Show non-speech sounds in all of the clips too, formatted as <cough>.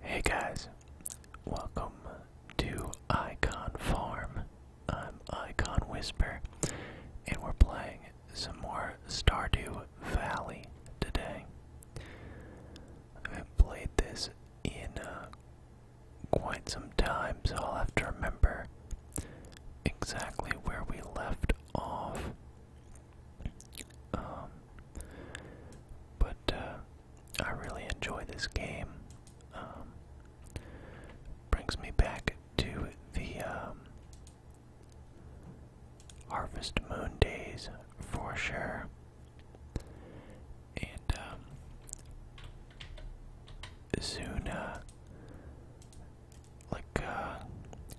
Hey guys, welcome to Icon Farm. I'm Icon Whisper, and we're playing some more Stardew Valley today. I have played this in uh, quite some time, so I'll have to remember exactly where we left off. Um, but uh, I really enjoy this game. Um, brings me back to the um, Harvest Moon days for sure. And Zuna uh, like uh,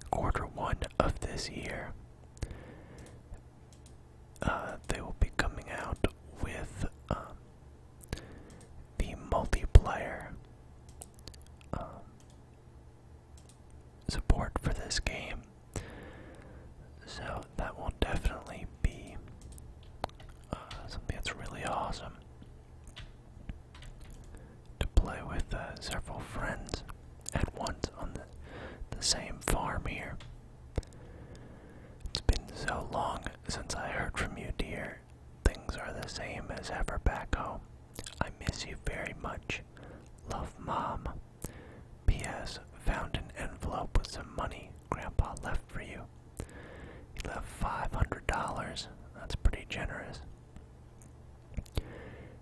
quarter one of this year, uh, they will be coming out with um, the multiplayer um, support for this game. So that will definitely be uh, something that's really awesome to play with uh, several friends at once on the, the same farm here. It's been so long since I heard from you, dear. Things are the same as ever back home. I miss you very much. Love, Mom. P.S. Found an envelope with some money Grandpa left for you. He left $500. That's pretty generous.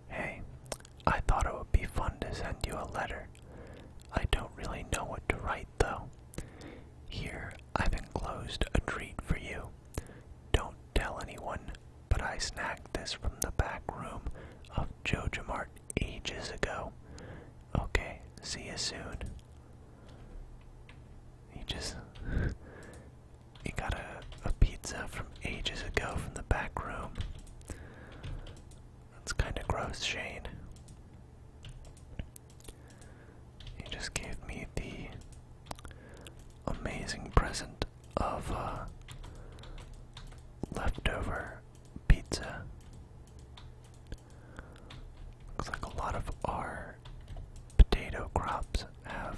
Hey, I thought it would be fun to send you a letter. I don't really know what to write, though. Here, I've enclosed a treat for you. Don't tell anyone, but I snagged this from the back room of Jojamart ages ago. Okay, see you soon. He just. <laughs> he got a, a pizza from ages ago from the back room. That's kind of gross, Shane. You just gave me the amazing present of uh, leftover pizza. Looks like a lot of our potato crops have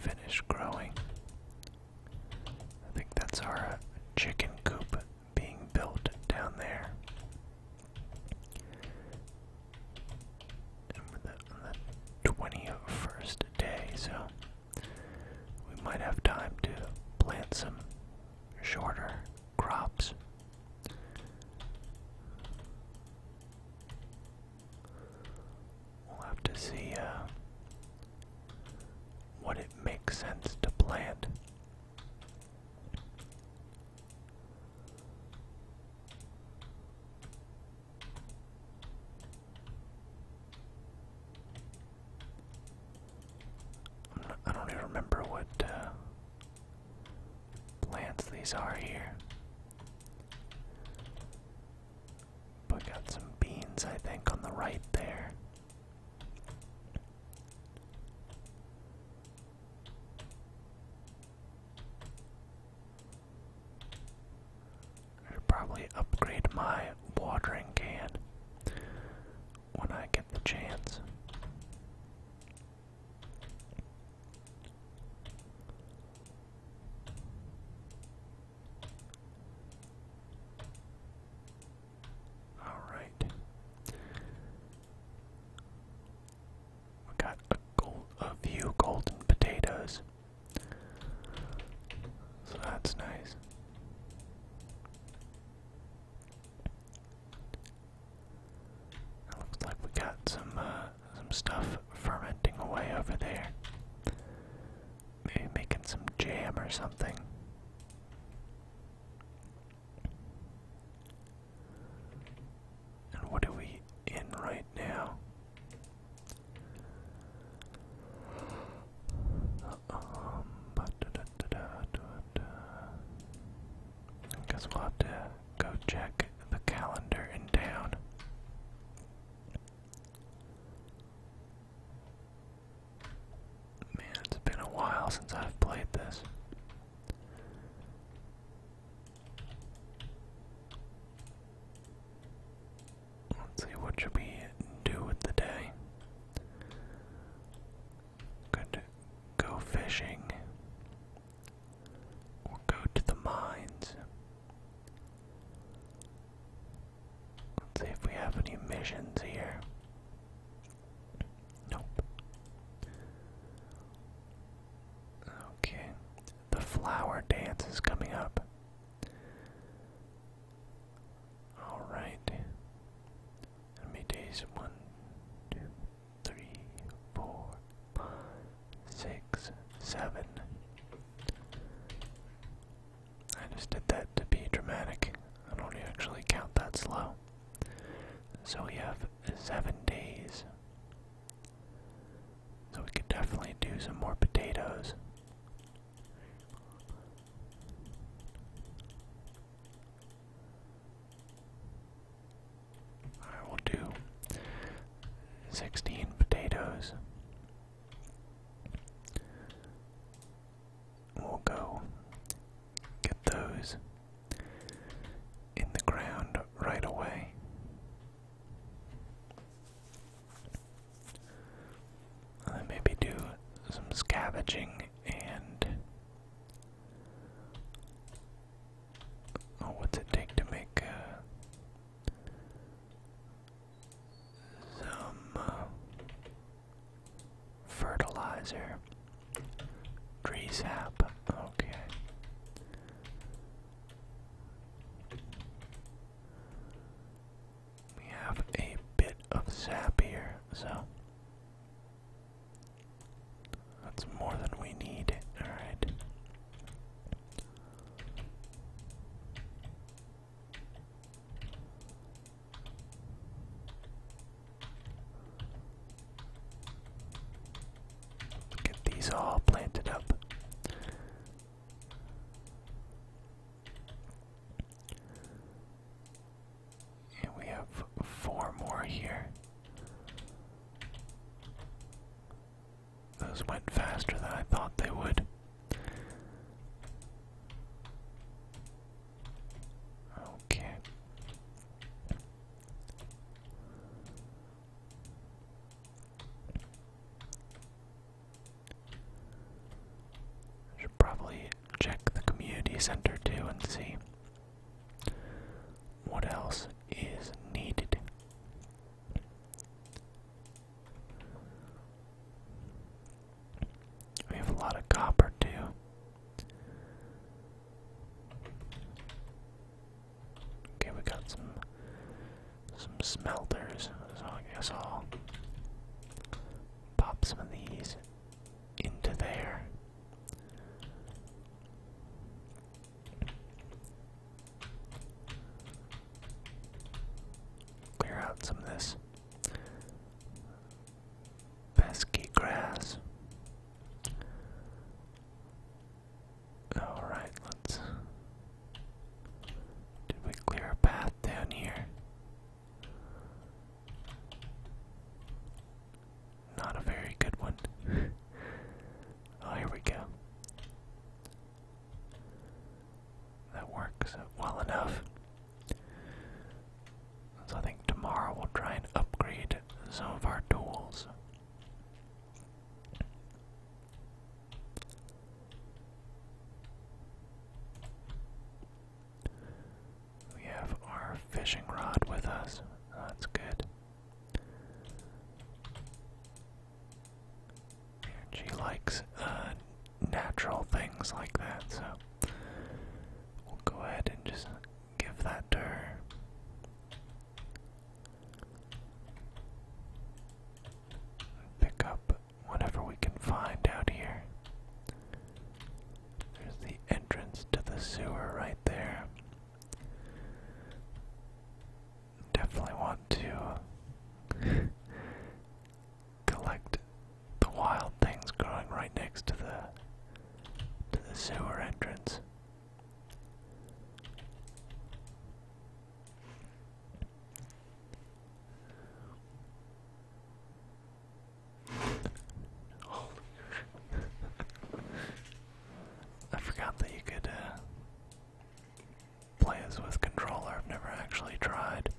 finished growing. I think that's our uh, chicken coop being built down there. And the, 21st day, so we might have time to plant some shorter crops. We'll have to see uh, what it makes sense to plant. i don't even remember what uh, plants these are here. But got some beans, I think, on the right there. I should probably upgrade my watering can when I get the chance. Alright. We got a, few golden potatoes. So that's nice. It looks like we got some uh, some stuff fermenting away over there. Maybe making some jam or something. And what are we in right now? Um, we'll have to go check the calendar in town. Man, it's been a while since I've played this. Let's see, what should we do with the day? Could go fishing or go to the mines. Let's see if we have any missions here. Nope. Okay. The flower dance is coming up. Alright. How many days? One, two, three, four, five, six, seven. I just did that to be dramatic. I don't actually count that slow. So we have seven days. So we could definitely do some more potatoes. I will do 16 potatoes we'll go get those in the ground right away. then maybe do some scavenging and. Oh, what's it take to make uh, some uh, Fertilizer. Tree sap. Okay. We have a bit of sap here, so that's more than we need. Alright. Get these all planted up. And we have four more here. Those went faster than I thought they would. Okay. I should probably check the community center too and see what else is needed. We have a lot of copper too. Okay, we got some some smelters, so I guess I'll pop some of these into there. Clear out some of this pesky grass. Alright, let's. Did we clear a path down here? Not a very good one. <laughs> oh, here we go. That works well enough. So I think tomorrow we'll try and upgrade some of our tools. We have our fishing rod with us. That's good. She likes uh, natural things like that, so we'll go ahead and just give that to her. Pick up whatever we can find out here. There's the entrance to the sewer right there. Definitely want to collect the wild things growing right next to the to the sewer entrance. Holy I forgot that you could uh, play this with controller. I've never actually tried.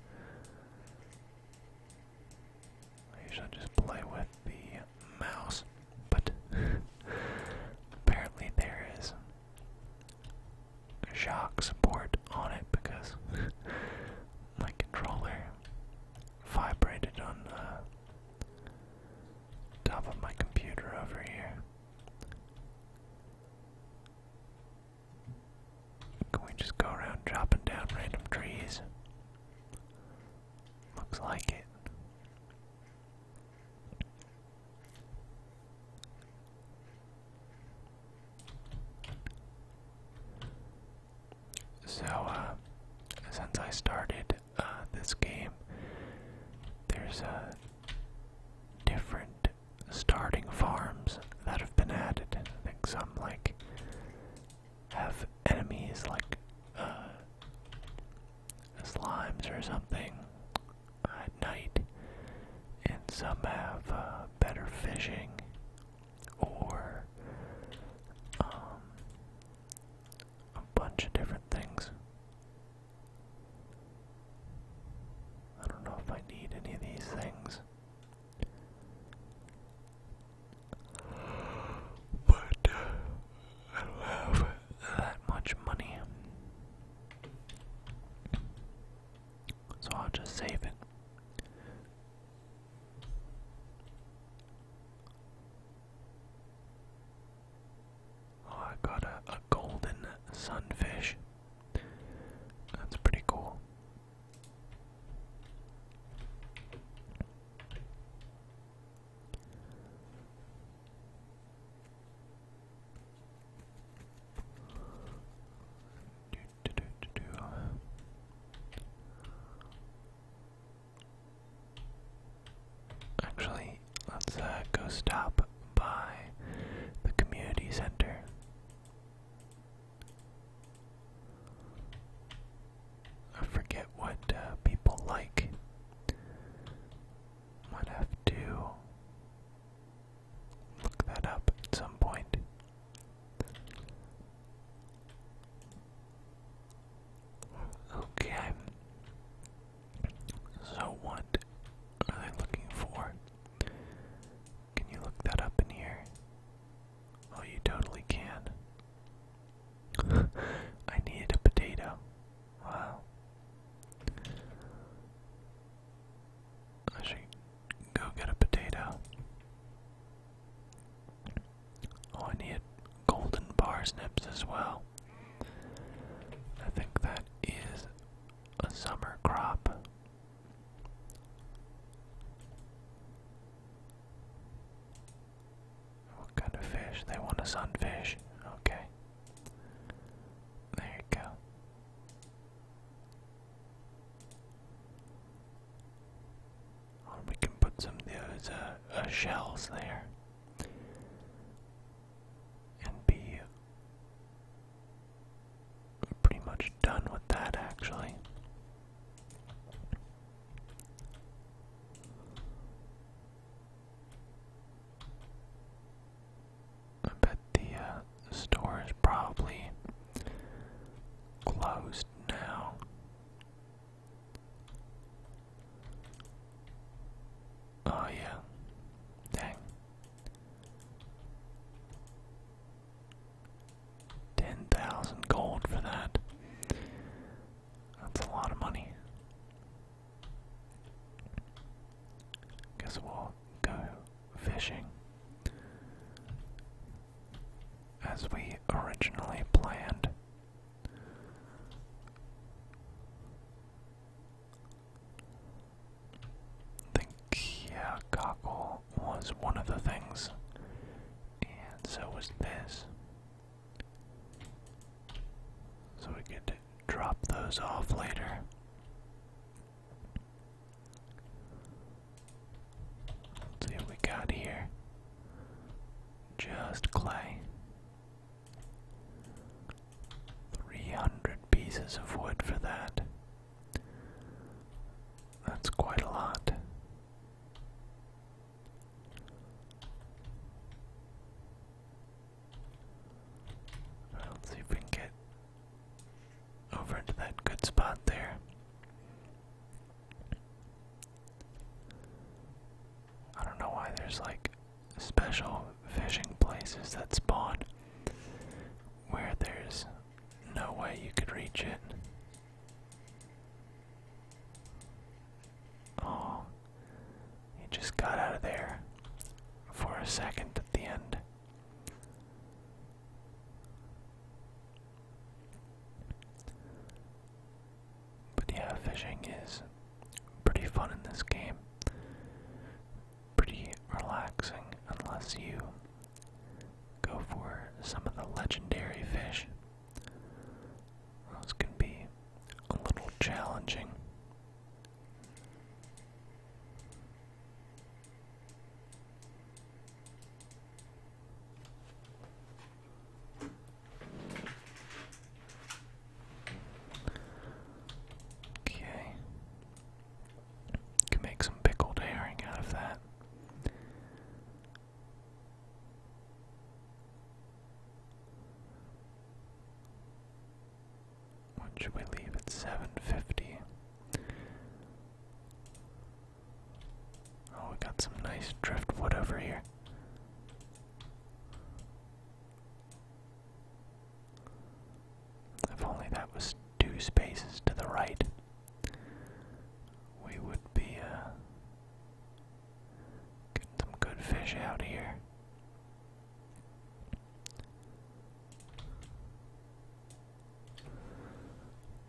I usually just play with the mouse, but <laughs> apparently there is shock support on it because <laughs> my controller vibrated on the top of my computer over here. Can we just go around chopping down random trees? Looks like it. So, uh, since I started uh, this game, there's uh, different starting farms that have been added. I think some like have enemies like uh, slimes or something at night, and some have uh, better fishing or um, a bunch of different things. I don't know if I need any of these things. But uh, I don't have that much money. So I'll just save it. Oh, I got a golden sunfish. That's pretty cool. Do, do, do, do, do. Actually, let's uh, go stop by the community center. I forget what uh, people like. Might have to look that up at some point. Okay. So, what are they looking for? Can you look that up in here? Oh, you totally can. <laughs> I need a potato. Wow. I go get a potato. Oh, I need golden bar snips as well. I think that is a summer crop. What kind of fish? They want a sunfish. Okay. There you go. we can put some of those uh, uh, shells there. And be uh, pretty much done with that actually. I bet the uh, store is probably closed now. Oh, yeah. Dang. 10,000 gold for that. That's a lot of money. Guess we'll go fishing as we originally planned. think, yeah, cockle was one of the things, and so was this. So we could drop those off later. see we got here. Just clay. 300 pieces of wood for that. That's quite a lot let's see if over into that good spot there. I don't know why there's like special fishing places that spawn where there's no way you could reach it. Oh, he just got out of there for a second at the end. But yeah, fishing is pretty fun in this game. Pretty relaxing, unless you go for some of the legendary fish those can be a little challenging. Okay. Can make some pickled herring out of that. What should we leave at seven fifty? Oh, we got some nice driftwood over here. If only that was two spaces to the right, we would be uh, Getting some good fish out here.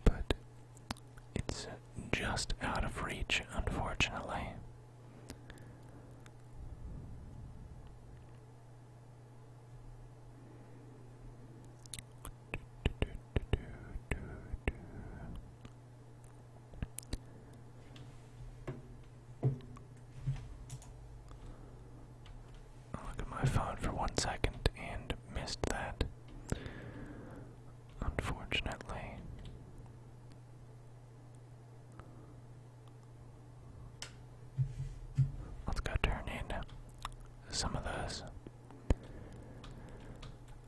But it's just out of reach, unfortunately look at my phone for one second and missed that. Unfortunately. Let's go turn in some of those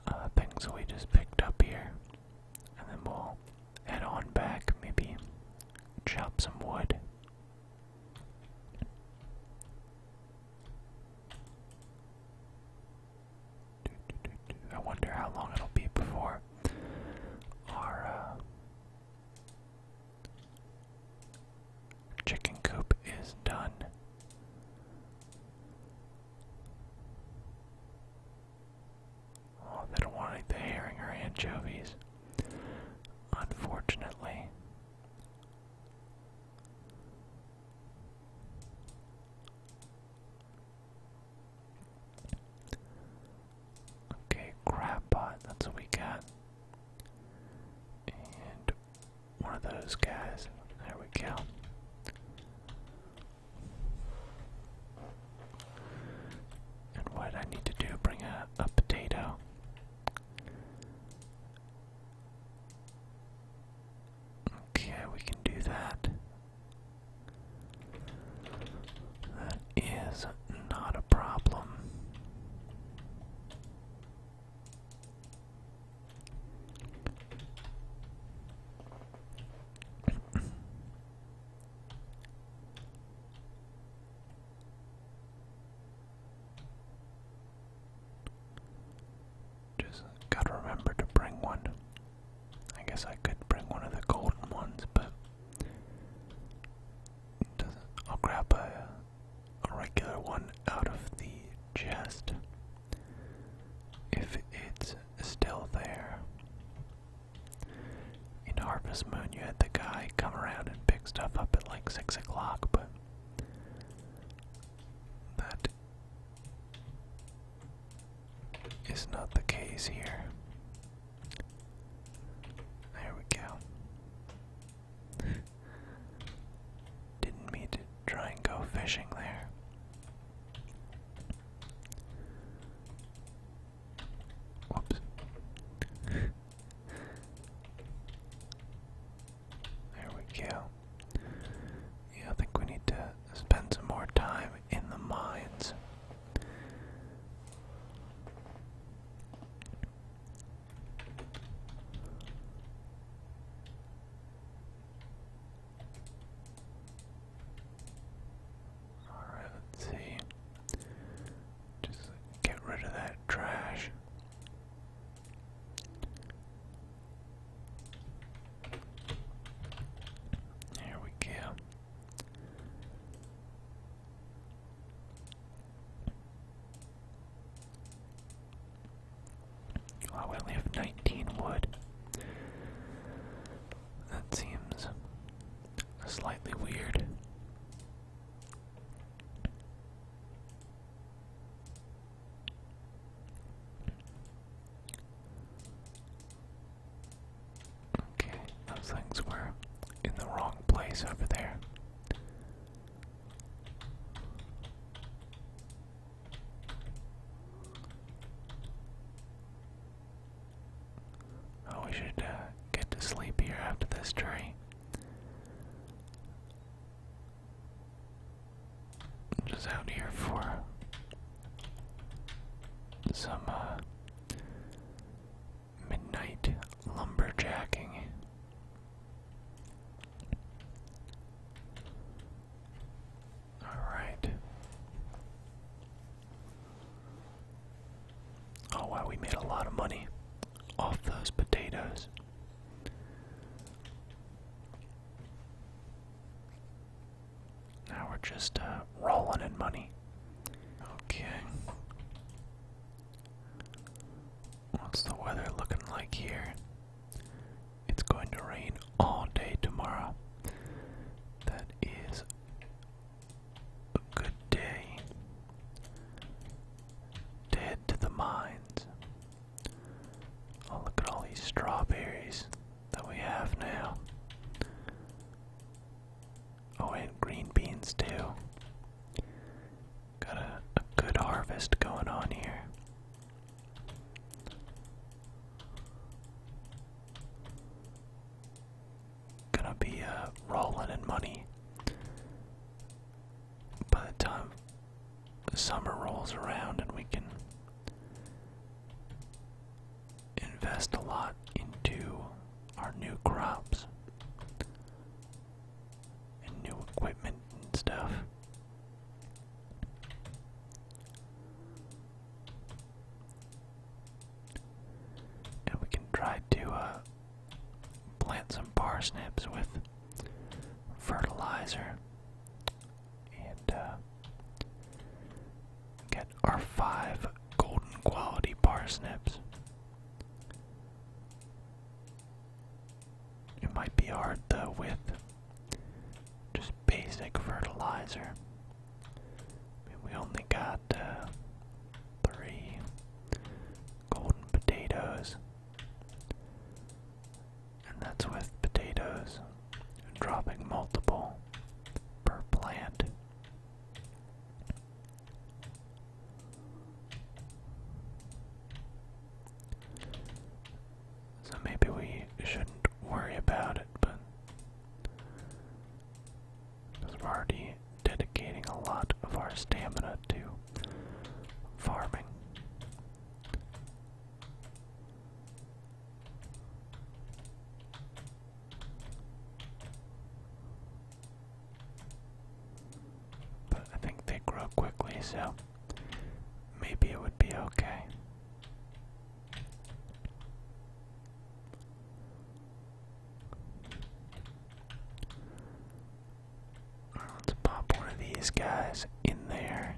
uh, things we just picked up here and then we'll head on back, maybe chop some wood. I wonder how long it'll be before our uh, chicken coop is done. Oh, they don't want to eat the herring or anchovies. Unfortunately. Okay, crab pot, that's what we got. And one of those guys. There we go. And what I need to do, bring a, potato. Okay, we can do that. That is not a problem. Just gotta remember to bring one. I guess I could bring one of the golden ones, but I'll grab a regular one out of the chest if it's still there. In Harvest Moon, you had the guy come around and pick stuff up at like 6 o'clock, but that is not the case here. There we go. <laughs> Didn't mean to try and go fishing there. Whoops. there we go. Yeah, I think we need to spend some more time in the mines. Alright, let's see. Just get rid of that trash. There we go. Wow, we only have 19 wood. That seems slightly weird. Okay, those things were in the wrong place over there. Oh, we should uh, get to sleep here after this tree. Just out here for some uh, midnight lumberjacking. Alright. Oh wow, we made a lot of money off those potatoes. Now we're just uh, rolling in money. Okay. What's the weather looking like here? It's going to rain all day tomorrow. That is a good day to to the mines. Oh, look at all these strawberries that we have now. Oh, and green beans too. Got a good harvest going on here. Gonna be uh, rolling in money by the time the summer rolls around and we can invest a lot into our new crops and new equipment and stuff. And we can try to uh, plant some parsnips with fertilizer and uh, get our five golden quality parsnips. It might be hard though with just basic fertilizer we only got uh, three golden potatoes, and that's with potatoes dropping multiple per plant. So maybe we shouldn't worry about it, but because we're already dedicating a lot of our stamina to farming. But I think they grow quickly, so maybe it would be okay let's pop one of these guys in there.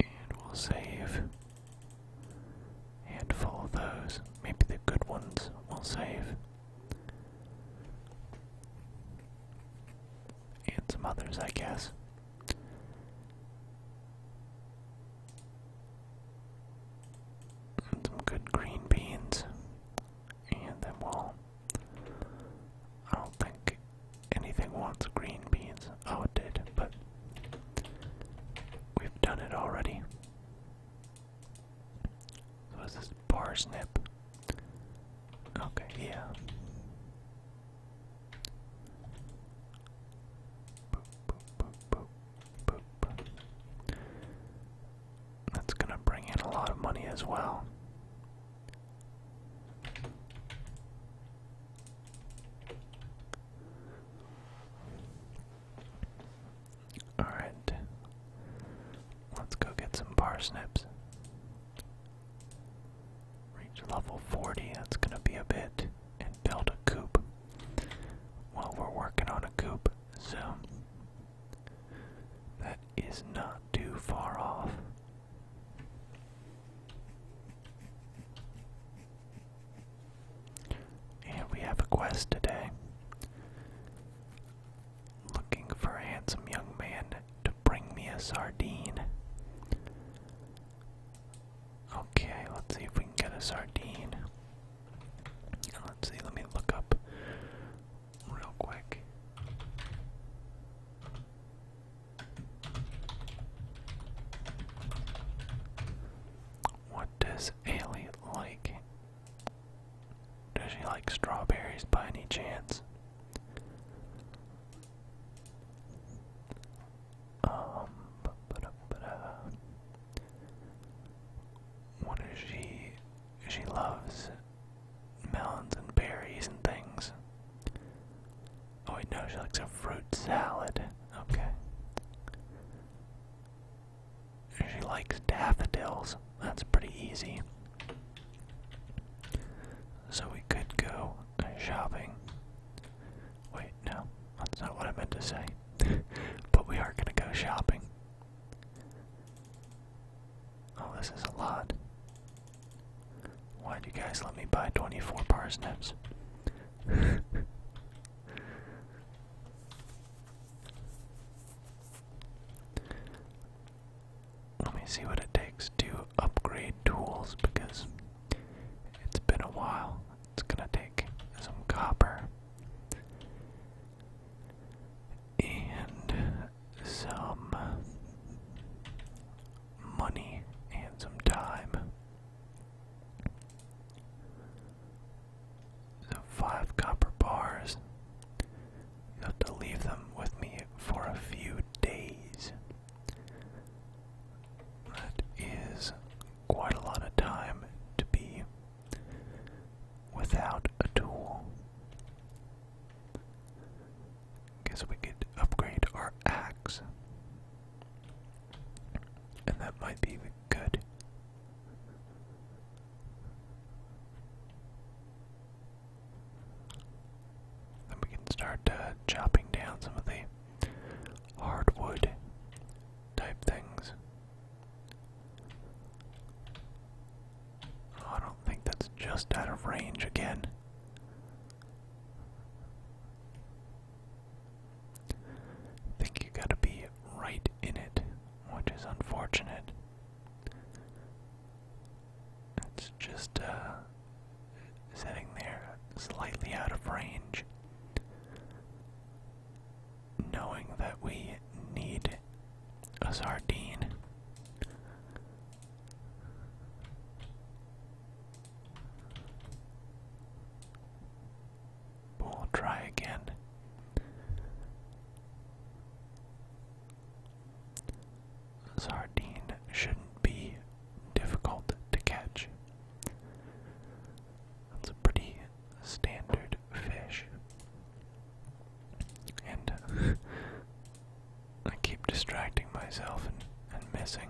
And we'll save a handful of those. Maybe the good ones we'll save and some others, I guess. some good green beans, and then we'll. I don't think anything wants green beans. Oh, but we've done it already. So, is this parsnip? Okay, yeah. Boop, boop, boop, boop, boop. That's gonna bring in a lot of money as well. Alright, let's go get some parsnips. Reach level 40, that's gonna be a bit, and build a coop. Well, we're working on a coop, so that is not too far off. And we have a quest today. Looking for a handsome young man to bring me a sardine. Okay, let's see if we can get a sardine. Let's see, let me look up real quick. What does Ailey like? Does she like strawberries by any chance? Um, ba -ba she? She loves melons and berries and things. Oh I know she likes a fruit salad. Okay. She likes daffodils. That's pretty easy. So we could go shopping. Wait, no, that's not what I meant to say. <laughs> but we are gonna go shopping. Oh, this is a lot. Why'd you guys let me buy 24 parsnips? <laughs> Let me see what it takes to upgrade tools because it's been a while. It's gonna take some copper and some money and some time. So five copper bars. You have to leave them with me for a few days. That is quite a lot of time to be without a tool. Guess we could upgrade our axe. And that might be good. Then we can start uh, chopping down some of the hardwood type things. Oh, I don't think that's just out of range again. think you gotta be right in it, which is unfortunate. It's just uh, sitting there slightly out of range, knowing that we need a sardine. We'll try again sardine shouldn't be difficult to catch. That's a pretty standard fish. And <laughs> I keep distracting myself and, and missing.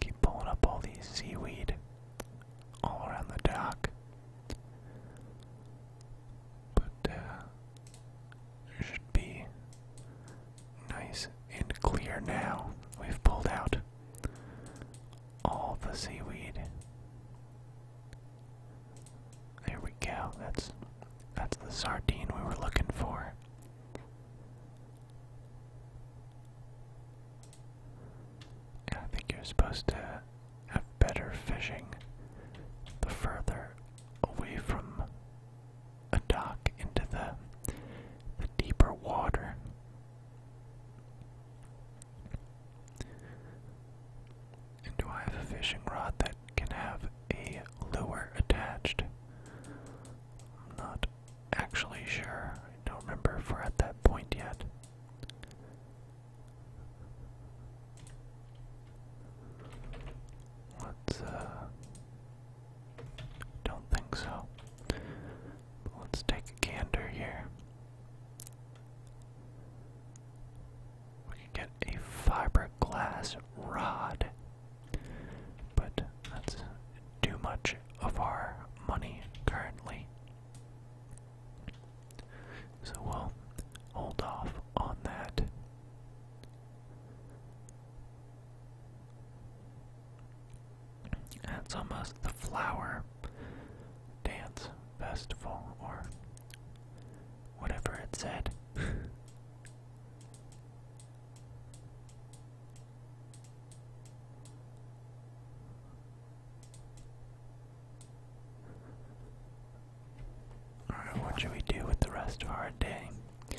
Keep pulling up all these seaweed all around the dock. But, it uh, should be nice and clear now. We've pulled out all the seaweed. There we go. That's that's the sardine we were looking for. I think you're supposed to have better fishing the further away from a dock into the deeper water. And do I have a fishing rod that can have a lure attached? not actually sure. I don't remember if we're at that point yet. Let's, uh. Don't think so. let's take a gander here. We can get a fiberglass rod but that's too much of our money currently. So we'll hold off on that. That's almost the flower dance festival or whatever it said. <laughs> Alright, what should we do with the rest of our day? I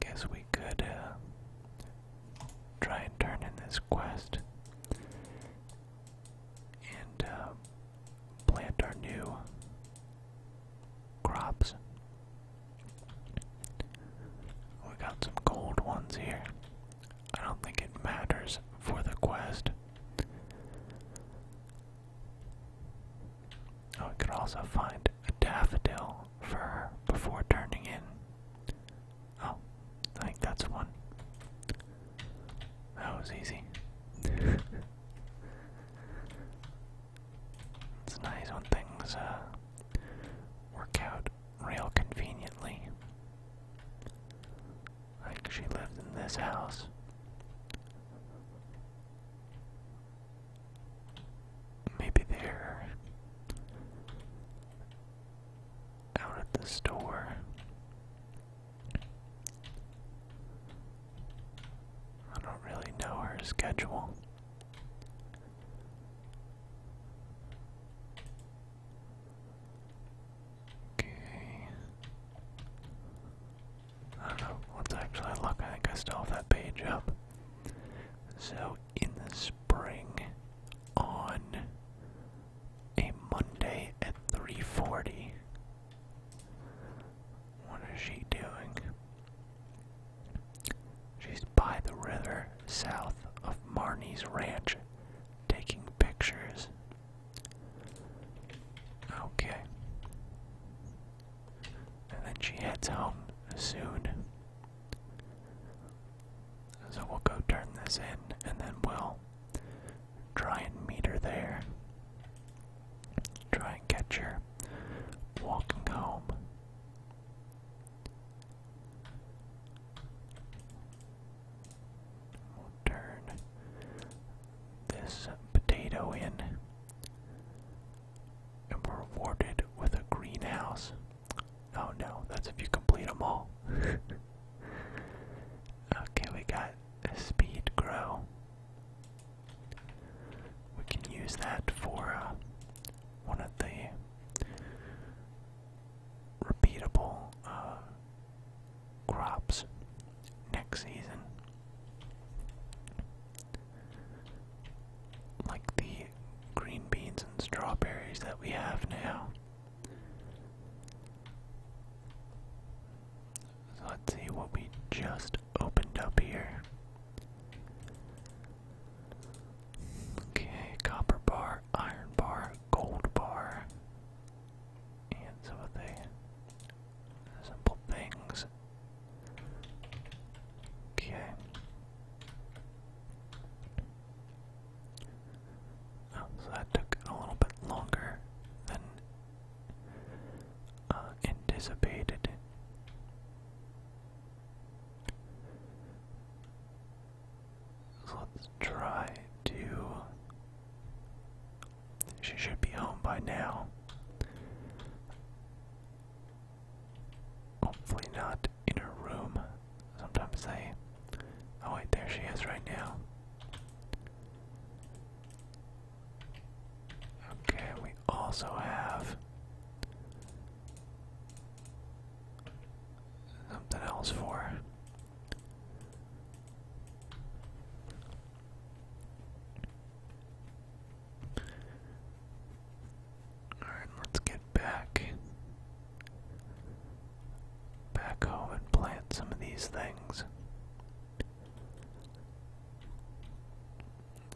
guess we could uh, try and turn in this quest and uh, plant our new crops. We got some gold ones here. I don't think it matters for the quest. Oh, we could also find a daffodil for her before turning in. Oh, I think that's one. That was easy. <laughs> it's nice when things uh, work out real conveniently. Like she lived in this house. Maybe they're out at the store. I don't really know her schedule. Okay. I don't know. let actually look. I think I still that page up. So, in the spring, on a Monday at 3:40, what is she doing? She's by the river south of Marnie's ranch taking pictures. Okay. And then she heads home soon. So we'll go turn this in and then we'll try and meet her there. Try and catch her walking home. We'll turn this potato in, and we're rewarded with a greenhouse. Oh no, that's if you complete them all. <laughs> okay, we got a speed grow. We can use that for uh, one of the repeatable uh, crops next season, like the green beans and strawberries that we have now. let's see what we just opened up here. Okay, copper bar, iron bar, gold bar, and some of the simple things. Okay. Oh, so that took a little bit longer than uh, anticipated let's try to. She should be home by now. Hopefully, not in her room. Sometimes they. Oh, wait, there she is right now. Okay, we also have something else for. Alright, let's get back. Back home and plant some of these things.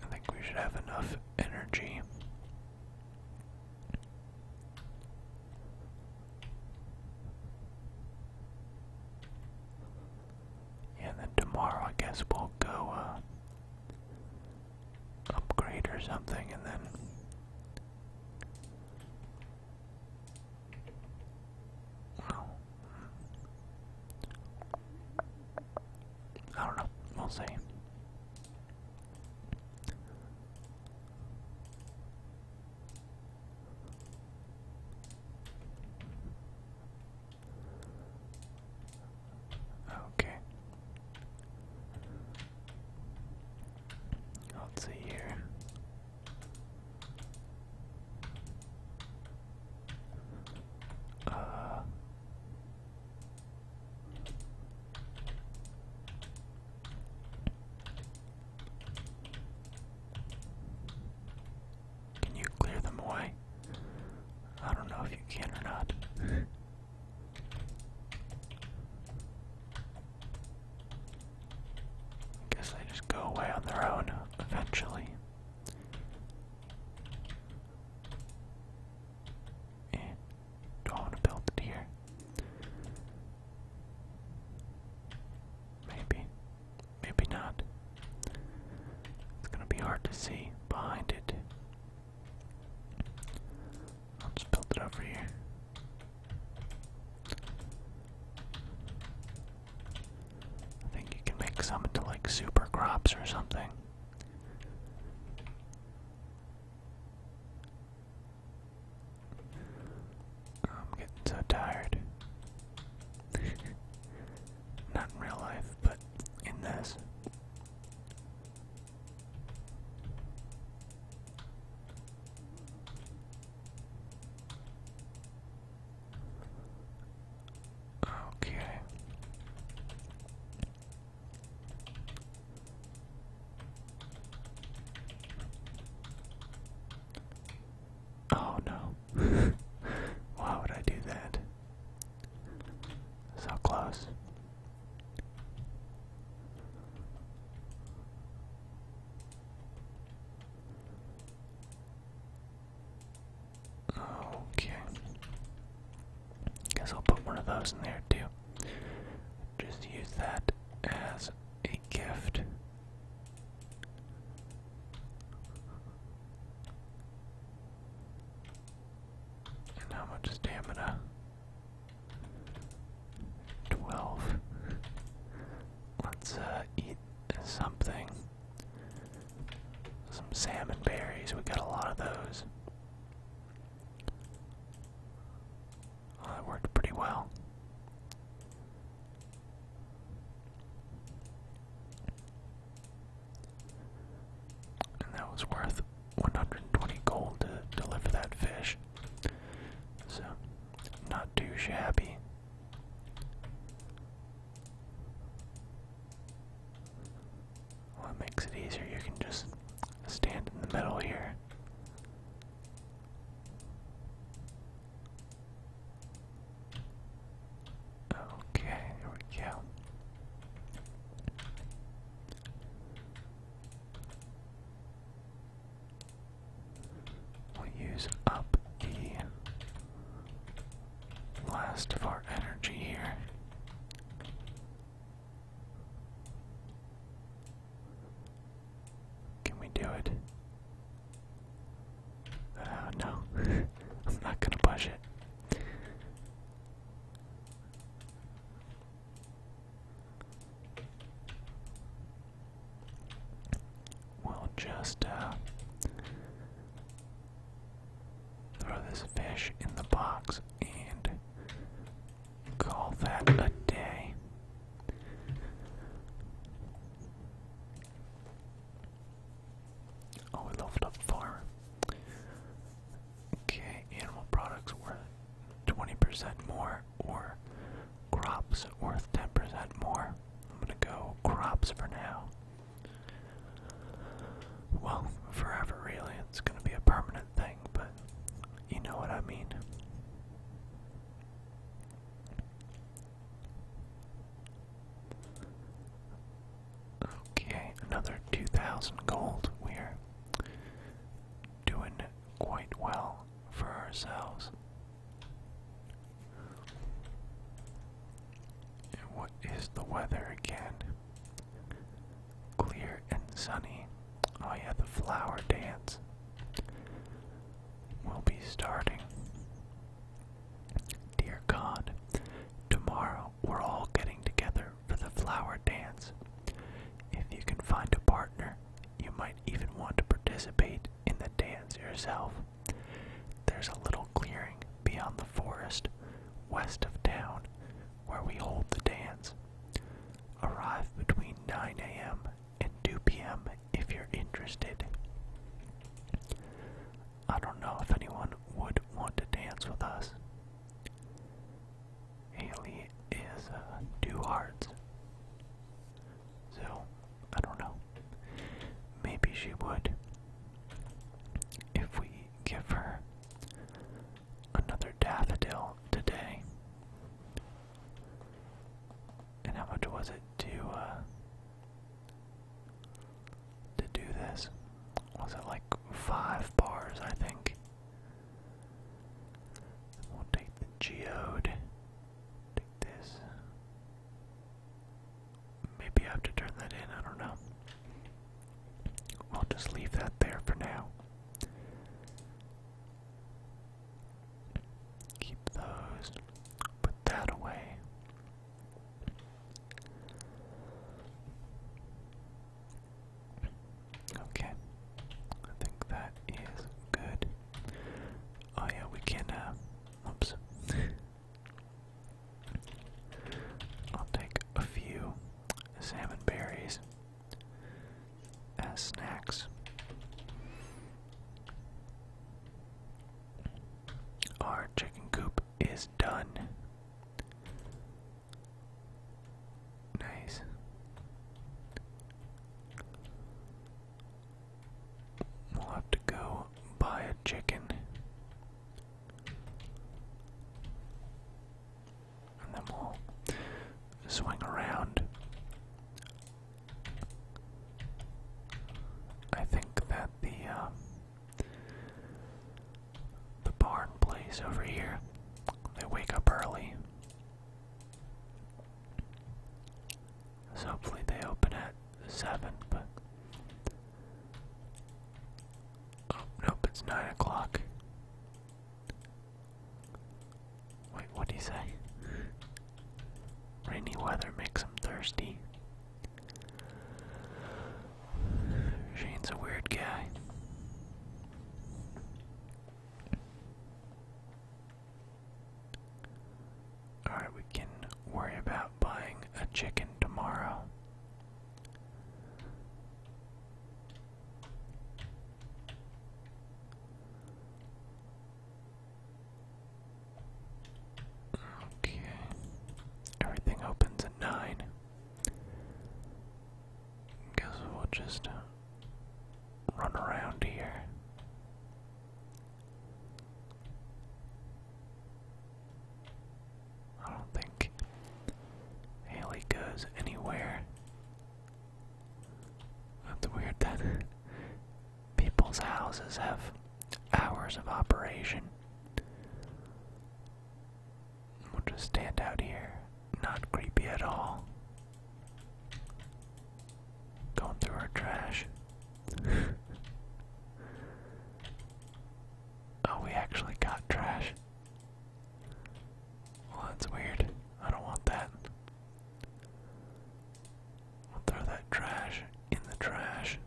I think we should have enough energy and then tomorrow, I guess we'll go uh, upgrade or something, and then I don't know. We'll see. Okay. Let's see here. Uh can you clear them away? I don't know if you can or not. I guess they just go away on their own eventually. Do I want to build it here? Maybe. Maybe not. It's gonna be hard to see behind it. I'll just build it over here. I think you can make some into like super crops or something. I'm getting so tired. <laughs> Not in real life, but in this. Okay. Oh no. <laughs> Why would I do that? So close. Okay. Guess I'll put one of those in there too. Just use that as a gift. And how much stamina? Twelve. Let's uh, eat something. Some salmon berries. We got a lot of those that worked pretty well. And that was worth 120 gold to deliver that fish. So, not too shabby. Well, it makes it easier. You can just stand in the middle here Okay, there we go. we use up the last of our energy here. Can we do it? Uh, no, <laughs> I'm not gonna push it. We'll just uh, throw this fish in the box and call that a day. Oh, we leveled up farm. Okay, animal products worth 20% more, or crops worth 10% more. I'm gonna go crops for now. Well, forever really. It's gonna be a permanent thing, but you know what I mean. Okay, another 2,000 gold. We're doing quite well for ourselves. And what is the weather again? Clear and sunny. Oh, yeah, the flower dance will be starting. Dear God, tomorrow we're all getting together for the flower dance. If you can find a partner, you might even want to participate in the dance yourself. There's a little clearing beyond the forest, west of town, where we hold the dance. Arrive between 9 a.m and 2 p.m. if you're interested. I don't know if anyone would want to dance with us. Haley is uh, two So, I don't know. Maybe she would. If we give her another daffodil today, and how much was it to uh, to do this? Was it like five bars, I think? We'll take the geode. Take this. Maybe I have to turn that in, I don't know. We'll just leave that there for now. Keep those. Put that away. Okay. I think that is good. Oh yeah, we can uh, oops. I'll take a few salmon berries as snacks. Our chicken coop is done. Nice. We'll have to go buy a chicken. And then we'll swing around I think that the uh, the barn place over here, they wake up early. So hopefully they open at seven, but oh nope, it's nine o'clock. Wait, what do you say? Rainy weather makes him thirsty. Shane's a weird guy. Alright, we can worry about buying a chicken tomorrow. Okay. Everything opens at 9. Guess we'll just uh, run around here. I don't think Haley goes anywhere. That's weird that people's houses have hours of operation. We'll just stand out here. Not creepy at all. Going through our trash. <laughs> oh, we actually got trash. Well, that's weird. I don't want that. I'll throw that trash in the trash.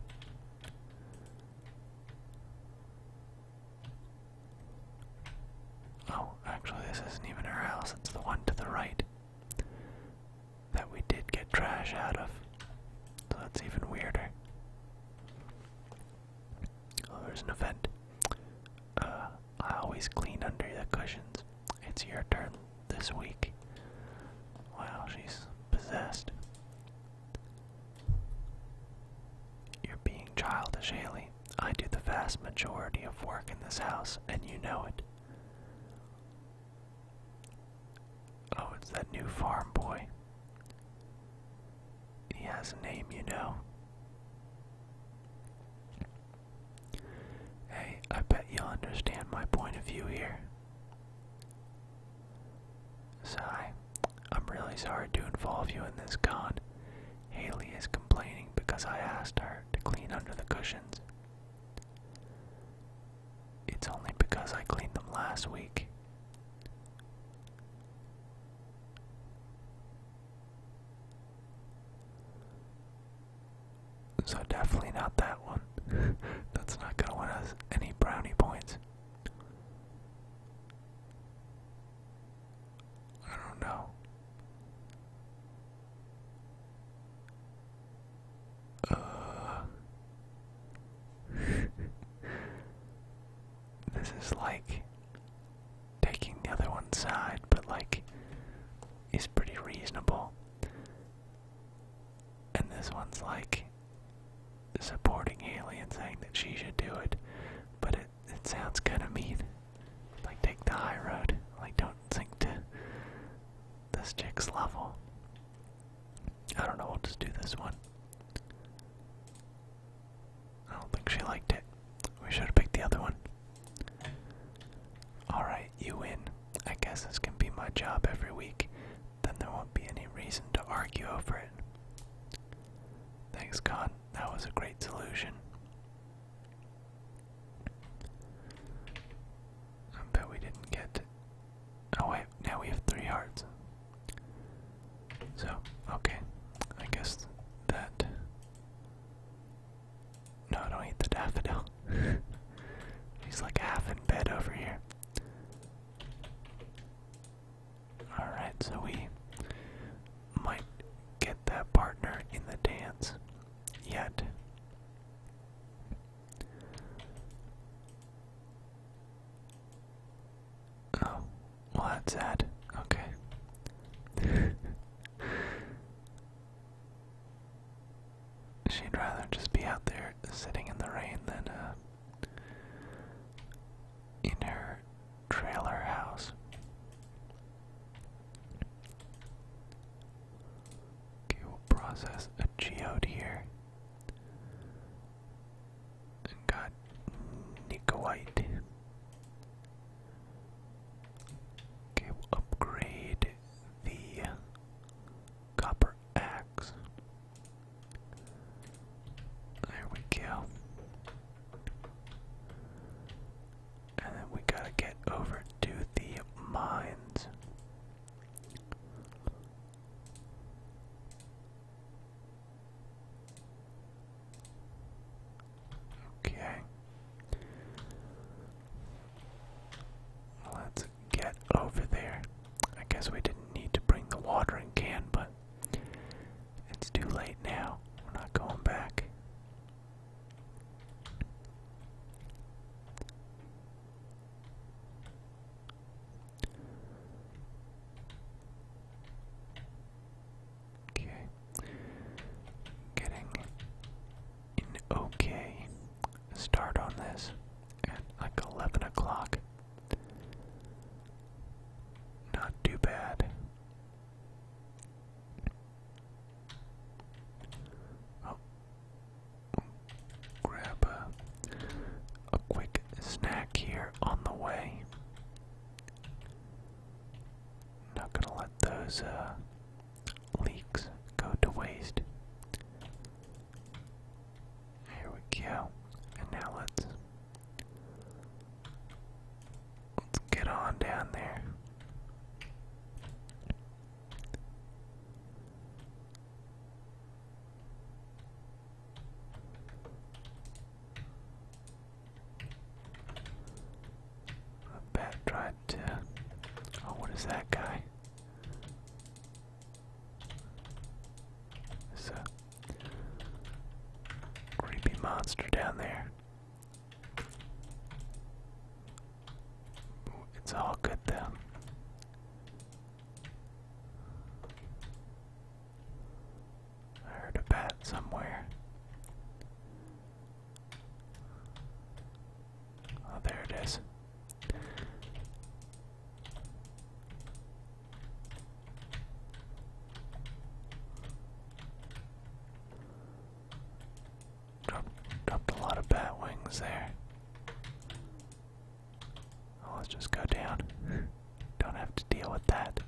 Oh, actually, this isn't even our house, it's the one to the right that we did get trash out of. So that's even weirder. Oh, there's an event. Uh, I always clean under the cushions. It's your turn this week. Wow, she's possessed. You're being childish, Haley. I do the vast majority of work in this house, and you know it. Oh, it's that new farm boy. He has a name, you know. Hey, I bet you'll understand my point of view here. Sigh, I'm really sorry to involve you in this con. Haley is complaining because I asked her to clean under the cushions. It's only because I cleaned them last week. So definitely not that one. <laughs> That's not gonna win us any brownie points. I don't know. Uh, <laughs> this is like taking the other one's side, but like it's pretty reasonable. And this one's like supporting Haley and saying that she should do it, but it it sounds kind of mean. Like take the high road. Like don't sink to this chick's level. I don't know. We'll just do this one. I don't think she liked it. We should have picked the other one. Alright, you win. I guess this can be my job every week. Then there won't be any reason to argue over it. Thanks, Con. That was a great solution. I bet we didn't get. Oh, wait, now we have three hearts. So, okay. I guess that no, don't eat the daffodil. <laughs> She's like half in bed over here. Alright, so we might get that partner in the dance yet. Oh, well, that's sad. Okay. <laughs> She'd rather just be out there sitting in the rain than uh, in her trailer house. Okay, process a geode here. got Nicoite. Okay, we upgrade the copper axe. There we go. And then we gotta get over to the mines. Okay. Let's get over there. I guess we didn't need to bring the watering can, but it's too late now. We're not going back. Okay. Getting okay start on this at like 11 o'clock. Not too bad. Oh. Grab a, a quick snack here on the way. Not gonna let those uh, leaks go to waste. Here we go. And now let's let's get on down there. The bat tried to. Oh, what is that guy? It's a creepy monster down there. It's all good though. I heard a bat somewhere. Oh, there it is. Dropped, dropped a lot of bat wings there. Oh, let's just go down. <laughs> Don't have to deal with that.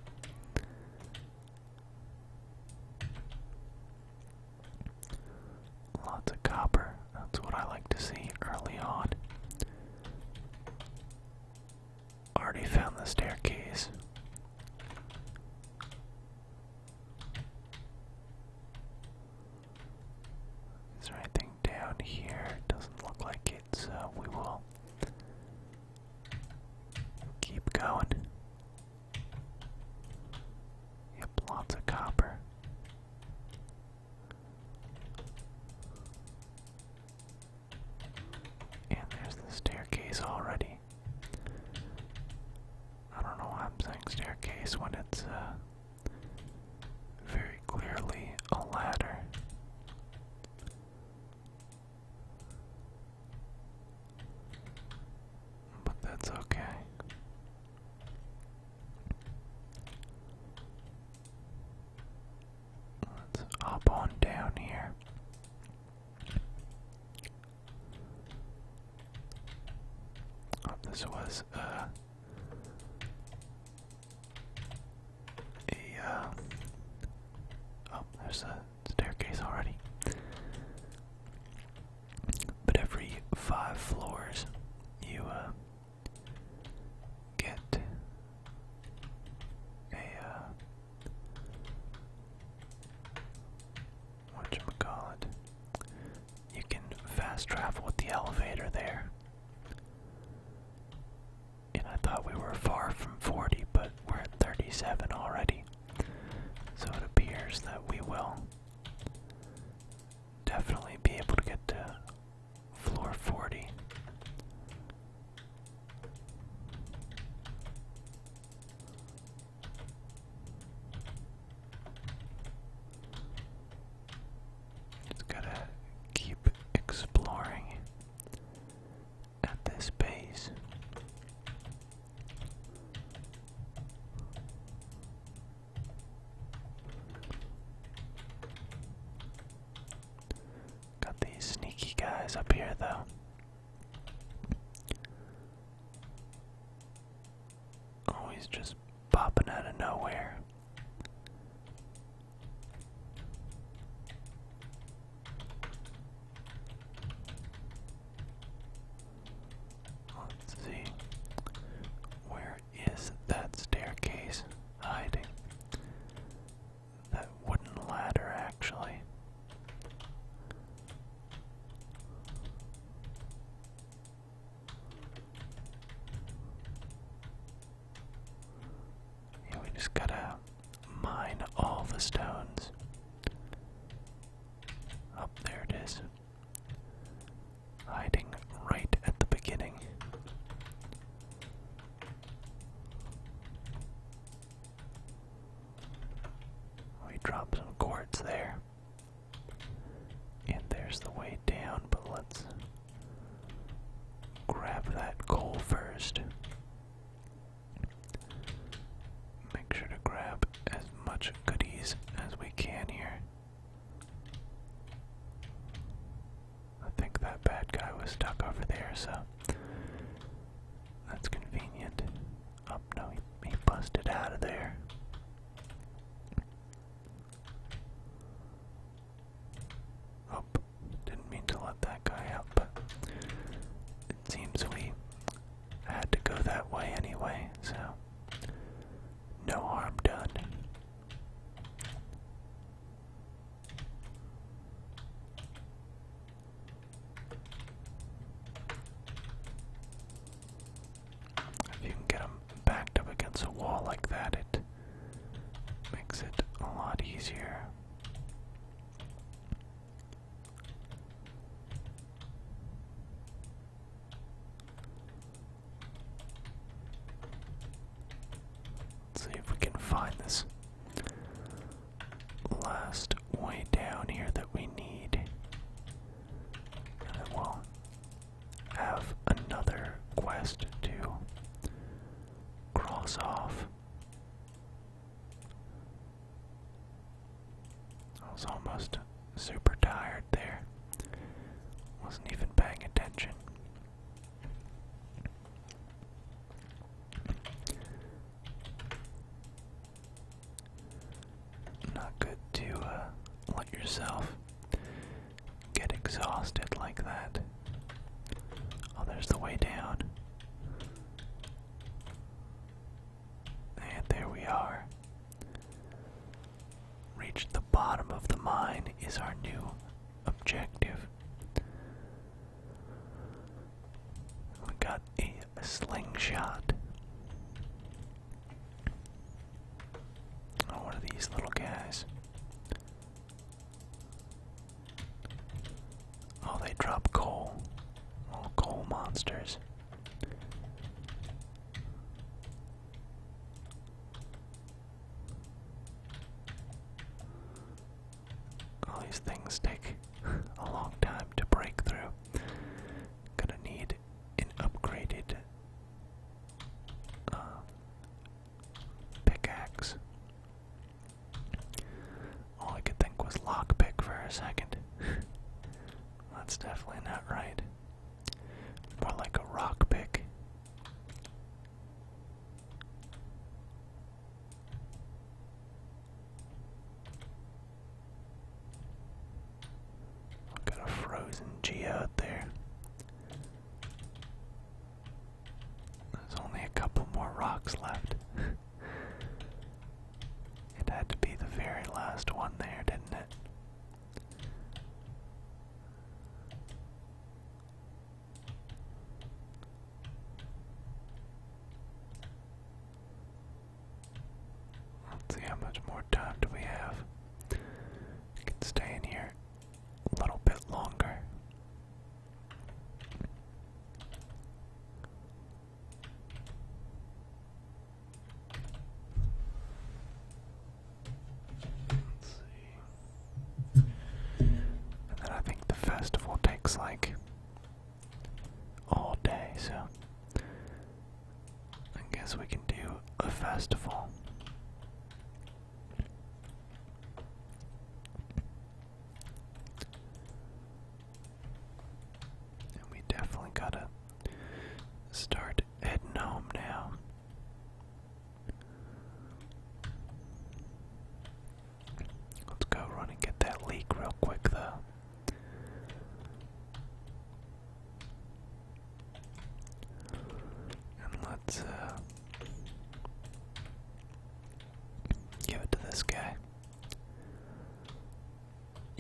Lots of copper. That's what I like to see early on. Already found the staircase. Is there anything down here? Doesn't look like it, so we will keep going. Yep, lots of copper. And there's the staircase already. I don't know why I'm saying staircase when it's uh, very clearly a ladder. But that's okay. Let's hop on down here. Oh, this was uh, a. Uh, oh, there's a staircase already. But every five floors, you uh, get a uh, what call it? You can fast travel with the elevator there. And I thought we were far from 40, but we're at 37 already. So it appears that we will definitely be able to get to floor 40. Just gotta keep exploring at this base. Got these sneaky guys up here, though. Always just popping out of nowhere. Let's see. Where is that staircase hiding? That wooden ladder, actually. Yeah, we just gotta mine all the stones. Up there it is. Hiding right at the beginning. We drop some cords there. And there's the way down, but let's grab that coal first. Make sure to grab as much goodies as we can here. I think that bad guy was stuck over there, so that's convenient. Up, oh, no, he, busted out of there. Oh, didn't mean to let that guy out, but it seems we had to go that way anyway, so no harm done. If you can get them backed up against a wall like that, it makes it a lot easier. Let's see if we can find this last way down here that we need. And will have another quest to cross off. I was almost super tired there. Wasn't even paying attention. Not good to uh, let yourself get exhausted like that. Oh, there's the way down. And there we are. Reach the bottom of the mine is our new objective. We got a, slingshot. Oh, what are these little guys? Oh, they drop coal. Little coal monsters. All these things take a long time to break through. Gonna need an upgraded uh, pickaxe. All I could think was lockpick for a second. That's definitely not right. More like a rock pick. Got a frozen G out there. There's only a couple more rocks left. <laughs> it had to be the very last one there, didn't it? Let's see how much more time do we have. We can stay in here a little bit longer. And then I think the festival takes like all day, so I guess we can do a festival. And we definitely gotta start heading home now. Let's go run and get that leak real quick, though. And let's uh, give it to this guy.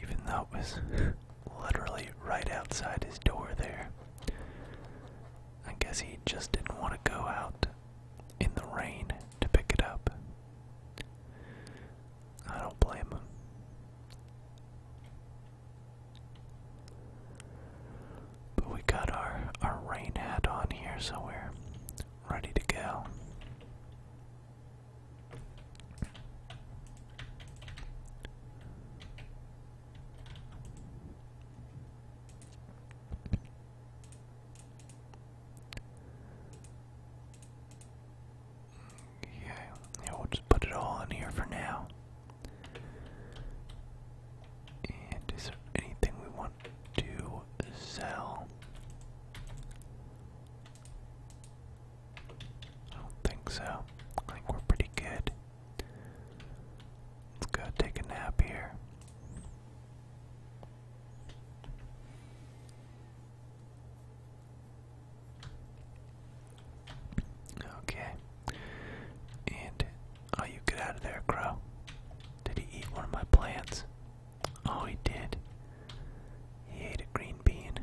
Even though it was <laughs> literally right outside his door there. I guess he just didn't want to go out in the rain to pick it up. I don't blame him. But we got our our rain hat on here, so we're ready to go. Yeah, yeah, we'll just put it all in here for now. is there anything we want to sell? I don't think so. I think we're pretty good. Let's go take a nap here. Okay. And oh, you get out of there, Crow. Did he eat one of my plants? Oh, he did. He ate a green bean.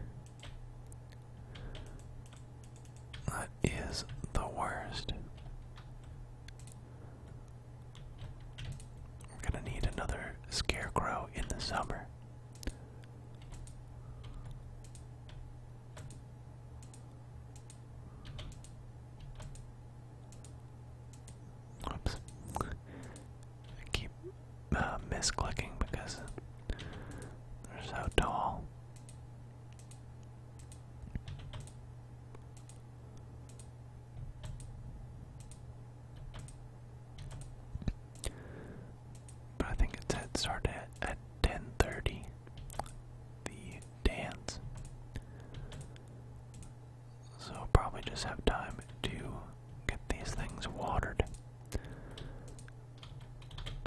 That is the worst. We're gonna need another scarecrow in the summer. Oops. keep uh, misclicking because they're so tall. But I think it's said started at, at 10.30, the dance. So probably just have time to get these things watered.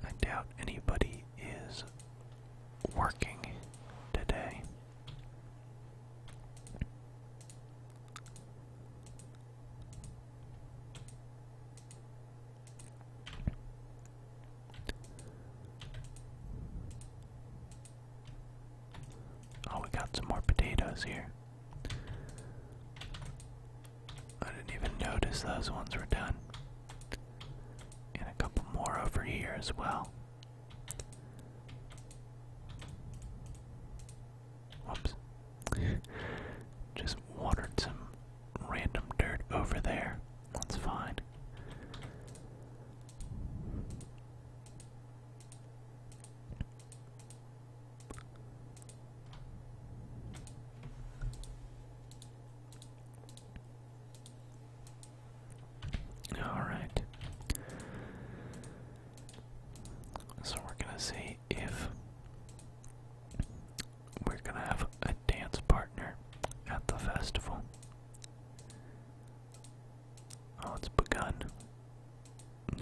I doubt anybody is working today. Oh, we got some more potatoes here. I didn't even notice those ones were done. And a couple more over here as well. Whoops. Just watered some random dirt over there. That's fine. Alright. So we're gonna see if we're gonna have a dance partner at the festival. Oh, it's begun.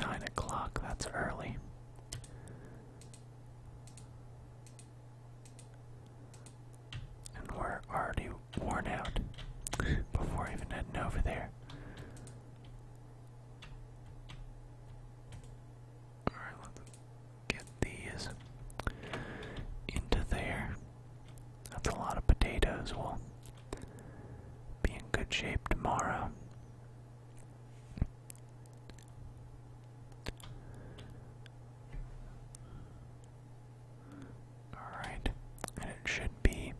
Nine o'clock, that's early. And we're already worn out before even heading over there. Alright, let's get these into there. That's a lot of potatoes. We'll be in good shape tomorrow. Alright, and it should be.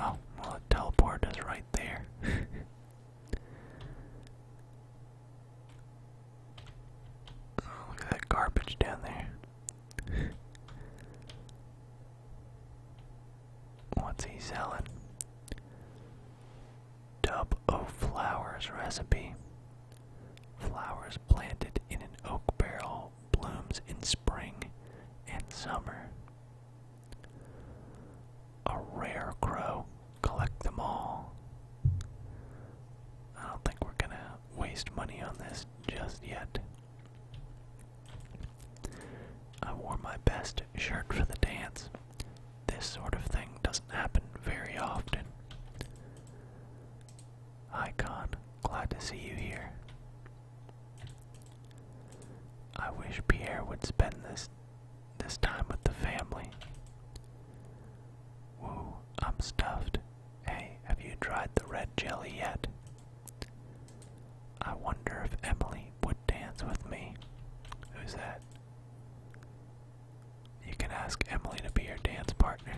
Oh, well, the teleport is right there. <laughs> Oh, look at that garbage down there. <laughs> What's he selling? Tub of flowers recipe. Flowers planted in an oak barrel blooms in spring and summer. A rare crow, collect them all. I don't think we're gonna waste money on this just yet. I wore my best shirt for the dance. This sort of thing doesn't happen very often. Icon, glad to see you here. I wish Pierre would spend this this time with the family. Woo, I'm stuffed. Hey, have you tried the red jelly yet? I wonder if Emily would dance with me. Who's that? You can ask Emily to be your dance partner.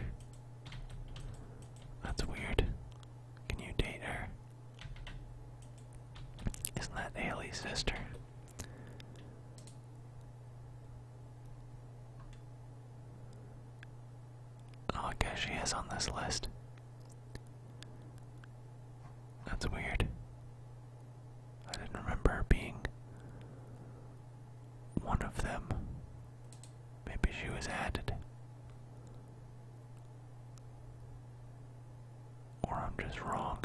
That's weird. Can you date her? Isn't that Ailey's sister? Oh, I guess she is on this list. That's weird. I didn't remember her being one of them. Maybe she was added. Or I'm just wrong.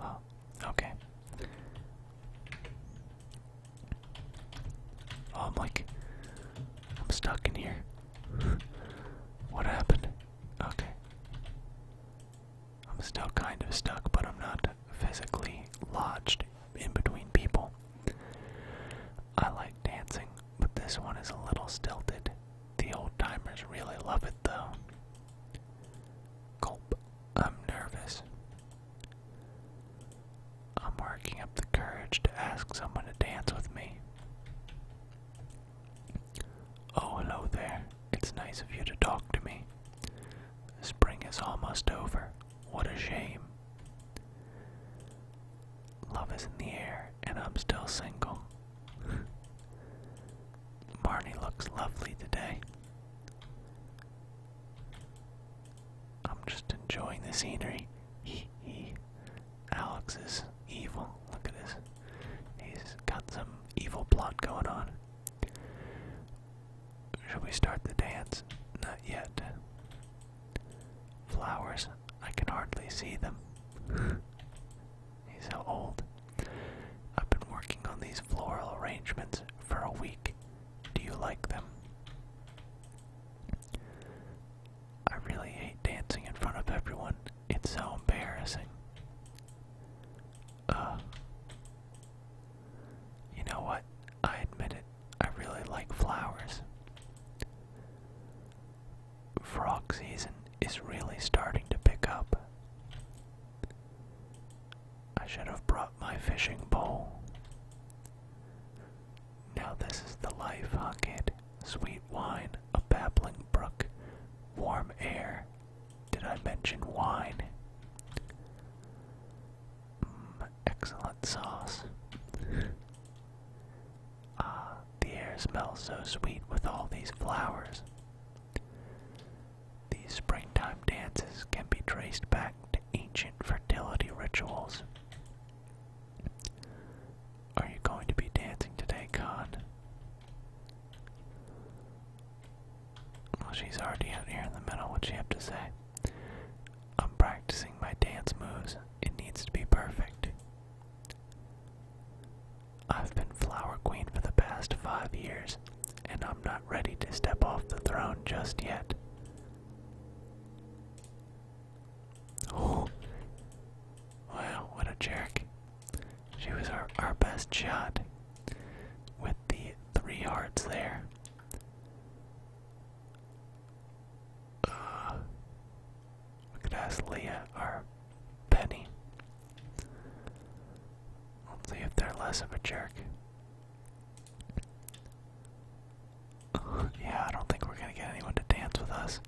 Oh, okay. Oh, I'm like, I'm stuck in here. <laughs> what happened? Okay. I'm still kind of stuck, but I'm not physically lodged in between people. I like dancing, but this one is a little stilted. The old timers really love it though. Gulp, I'm nervous. I'm working up the courage to ask someone to dance with me. Oh, hello there. It's nice of you to talk to me. Spring is almost over. What a shame. Love is in the air, and I'm still single. Marnie <laughs> looks lovely today. I'm just enjoying the scenery. He he. Alex is evil. Look at this. He's got some evil plot going on. Shall we start the dance? Not yet. Flowers, I can hardly see them. <laughs> He's so old. I've been working on these floral arrangements for a week. Do you like them? I really hate dancing in front of everyone. It's so embarrassing. Uh, you know what? I admit it. I really like flowers. Frog season is really starting to pick up. I should have brought my fishing pole. Now this is the life, huh, kid? Sweet wine, a babbling brook, warm air. Did I mention wine? Mm, excellent sauce. Ah, the air smells so sweet with all these flowers. These springtime dances can be traced back to ancient fertility rituals. Are you going to be dancing today, Khan? Well, she's already out here in the middle. What'd she have to say? I'm practicing my dance moves. It needs to be perfect. I've been Flower Queen for the past five years, and I'm not ready to step off the throne just yet. Oh, well, what a jerk. She was our, our best shot with the three hearts there. Uh, we could ask Leah or Penny. Let's see if they're less of a jerk. yeah, I don't think we're gonna get anyone to dance with us.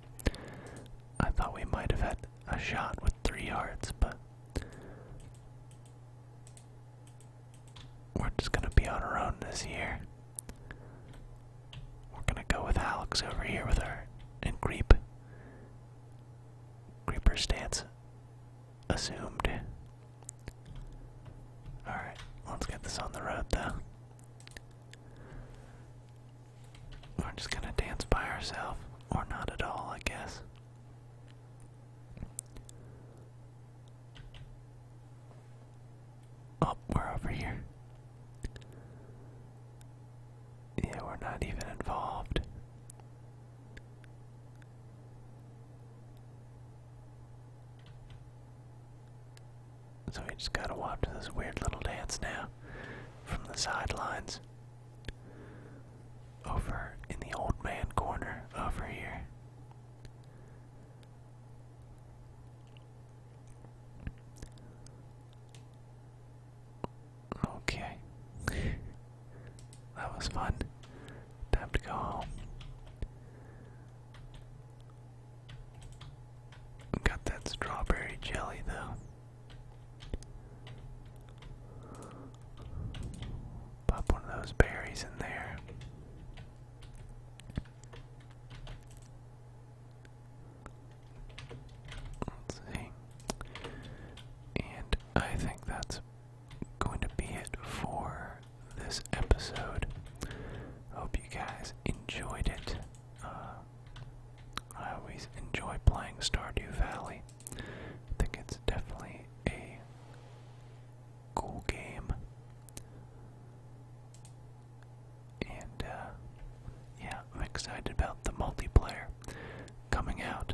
I thought we might have had a shot with three yards, but we're just gonna be on our own this year. We're gonna go with Alex over here with her and creep. Creeper stance assumed. Alright, let's get this on the road though. We're just gonna dance by ourselves, or not at all, I guess. Oh, we're over here. Yeah, we're not even involved. So we just gotta watch this weird little dance now from the sidelines. Over in the old man corner over here. Okay. that was fun. Time to go home. Got that strawberry jelly though. Pop one of those berries in there. Let's see. And I think that's going to be it for this episode. Hope you guys enjoyed it. Uh, I always enjoy playing Stardew Valley. I think it's definitely a cool game. And uh, yeah, I'm excited about the multiplayer coming out.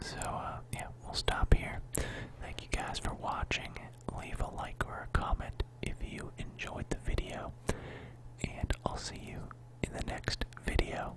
So, uh, yeah, we'll stop here. Thank you guys for watching. Leave a like or a comment if you enjoyed the video, and I'll see you in the next video.